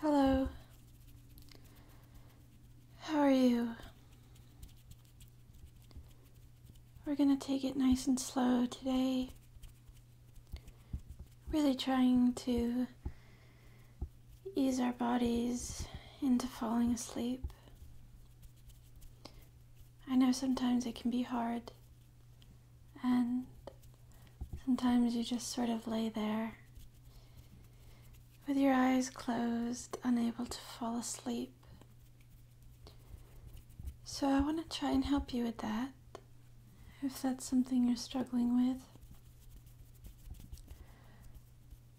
Hello. How are you? We're gonna take it nice and slow today. Really trying to ease our bodies into falling asleep. I know sometimes it can be hard. And sometimes you just sort of lay there with your eyes closed, unable to fall asleep. So I want to try and help you with that if that's something you're struggling with.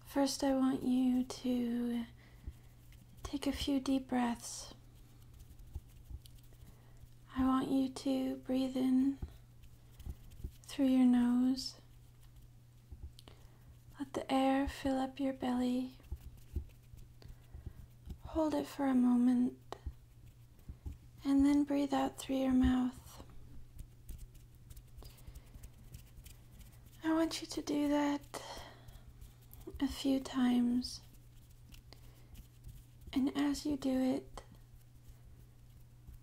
First, I want you to take a few deep breaths. I want you to breathe in through your nose. Let the air fill up your belly. Hold it for a moment and then breathe out through your mouth. I want you to do that a few times and as you do it,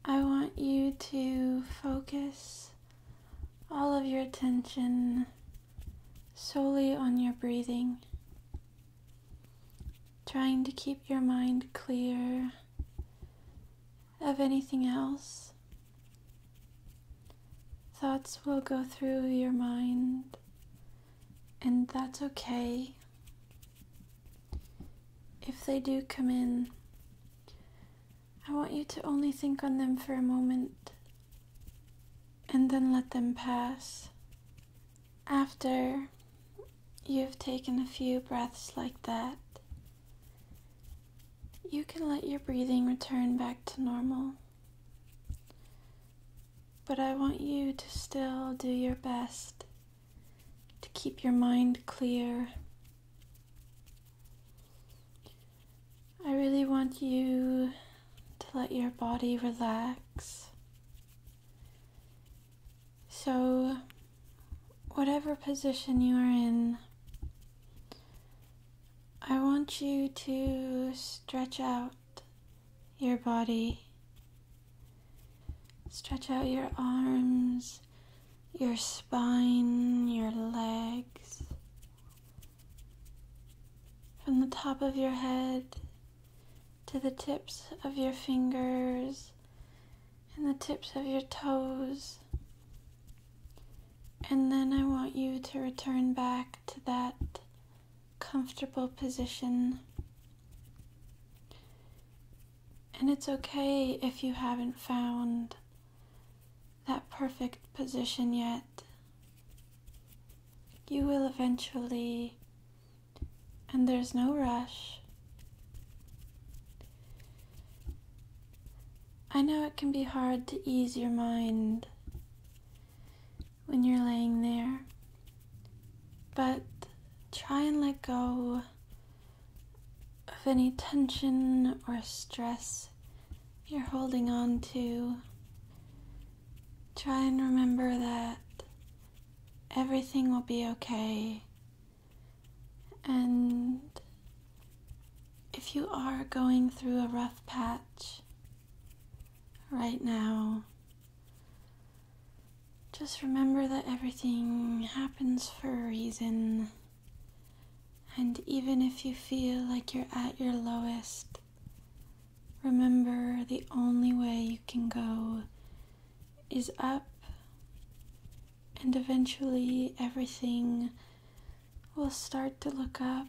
I want you to focus all of your attention solely on your breathing, trying to keep your mind clear of anything else. Thoughts will go through your mind and that's okay if they do come in. I want you to only think on them for a moment and then let them pass. After you've taken a few breaths like that, you can let your breathing return back to normal. But I want you to still do your best to keep your mind clear. I really want you to let your body relax. So, whatever position you are in, I want you to stretch out your body. Stretch out your arms, your spine, your legs. From the top of your head to the tips of your fingers and the tips of your toes. And then I want you to return back to that comfortable position. And it's okay if you haven't found that perfect position yet. You will eventually, and there's no rush. I know it can be hard to ease your mind when you're laying there. But try and let go of any tension or stress you're holding on to. Try and remember that everything will be okay. And if you are going through a rough patch, Right now, just remember that everything happens for a reason. And even if you feel like you're at your lowest, remember the only way you can go is up, and eventually everything we will start to look up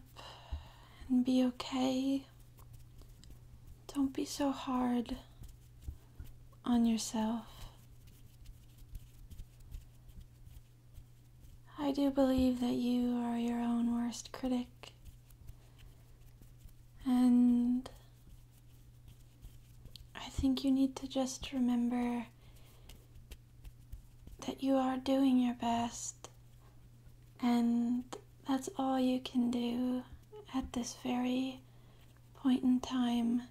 and be okay. Don't be so hard on yourself. I do believe that you are your own worst critic. And I think you need to just remember that you are doing your best, and that's all you can do at this very point in time.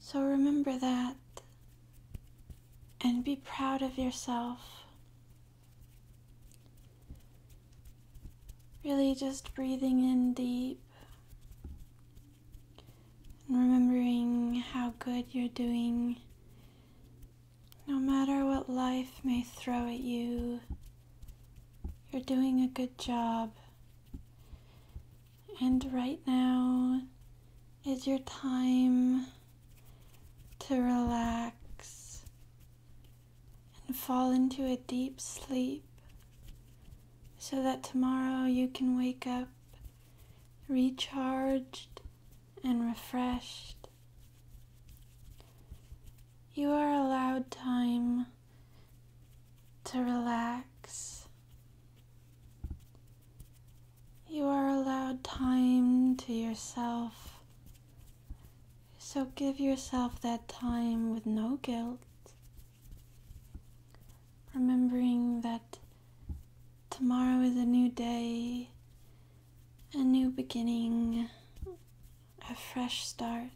So remember that and be proud of yourself. Really, just breathing in deep and remembering how good you're doing, no matter what life may throw at you, you're doing a good job. And right now is your time to relax and fall into a deep sleep so that tomorrow you can wake up recharged and refreshed. You are allowed time to relax. You are allowed time to yourself. So give yourself that time with no guilt, Remembering that tomorrow is a new day, a new beginning, a fresh start.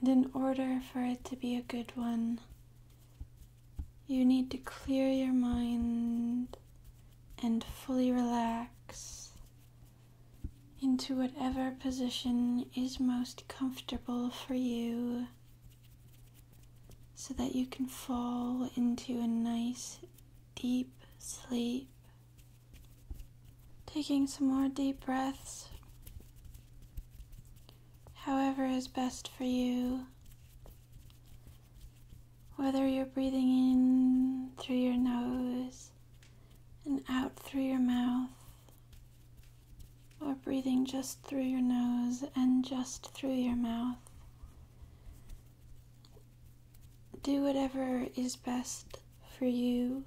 And in order for it to be a good one, you need to clear your mind and fully relax into whatever position is most comfortable for you so that you can fall into a nice deep sleep. Taking some more deep breaths, however, is best for you. Whether you're breathing in through your nose and out through your mouth, or breathing just through your nose and just through your mouth. Do whatever is best for you.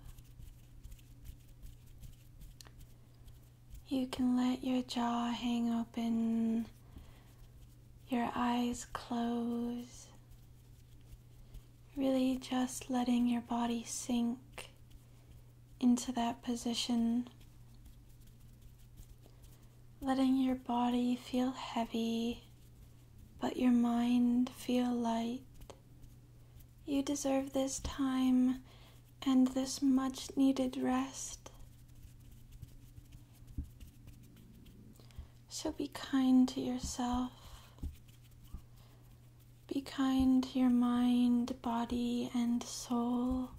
You can let your jaw hang open, your eyes close. Really just letting your body sink into that position. Letting your body feel heavy, but your mind feel light. You deserve this time and this much needed rest. So be kind to yourself. Be kind to your mind, body, and soul.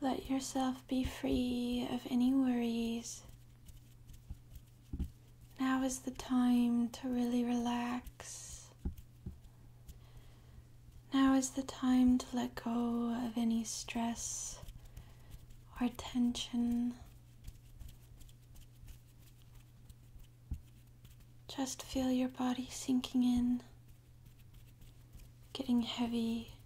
Let yourself be free of any worries. Now is the time to really relax. Now is the time to let go of any stress or tension. Just feel your body sinking in, getting heavy.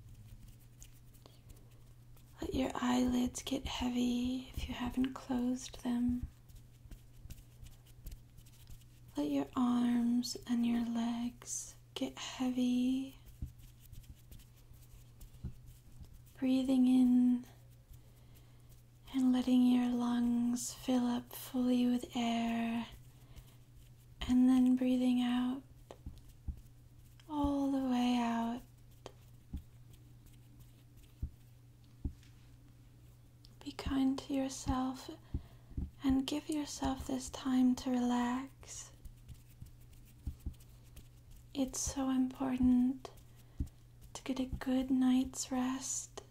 Let your eyelids get heavy if you haven't closed them. Let your arms and your legs get heavy. Breathing in and letting your lungs fill up fully with air, and then breathing out all the way out. Be kind to yourself and give yourself this time to relax. It's so important to get a good night's rest.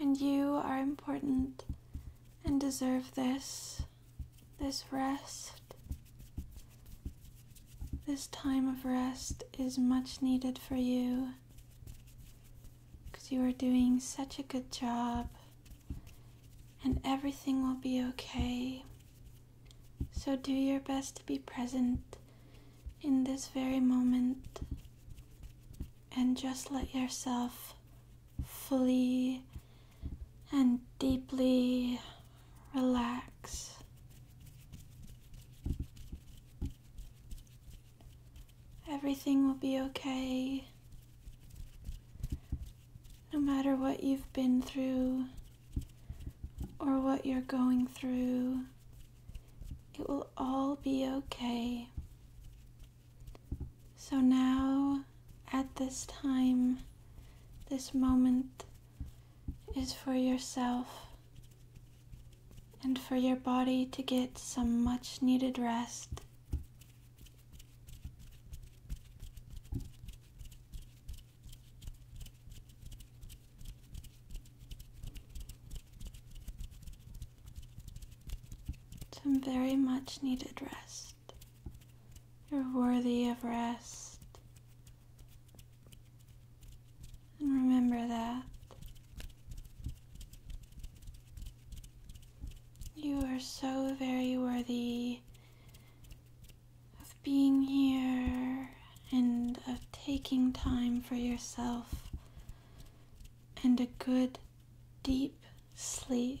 And you are important and deserve this, this rest. This time of rest is much needed for you because you are doing such a good job and everything will be okay. So do your best to be present in this very moment and just let yourself fully and deeply relax. Everything will be okay. No matter what you've been through or what you're going through, it will all be okay. So now, at this time, this moment is for yourself and for your body to get some much needed rest. Some very much needed rest. You're worthy of rest. And Remember that. You are so very worthy of being here and of taking time for yourself and a good, deep sleep.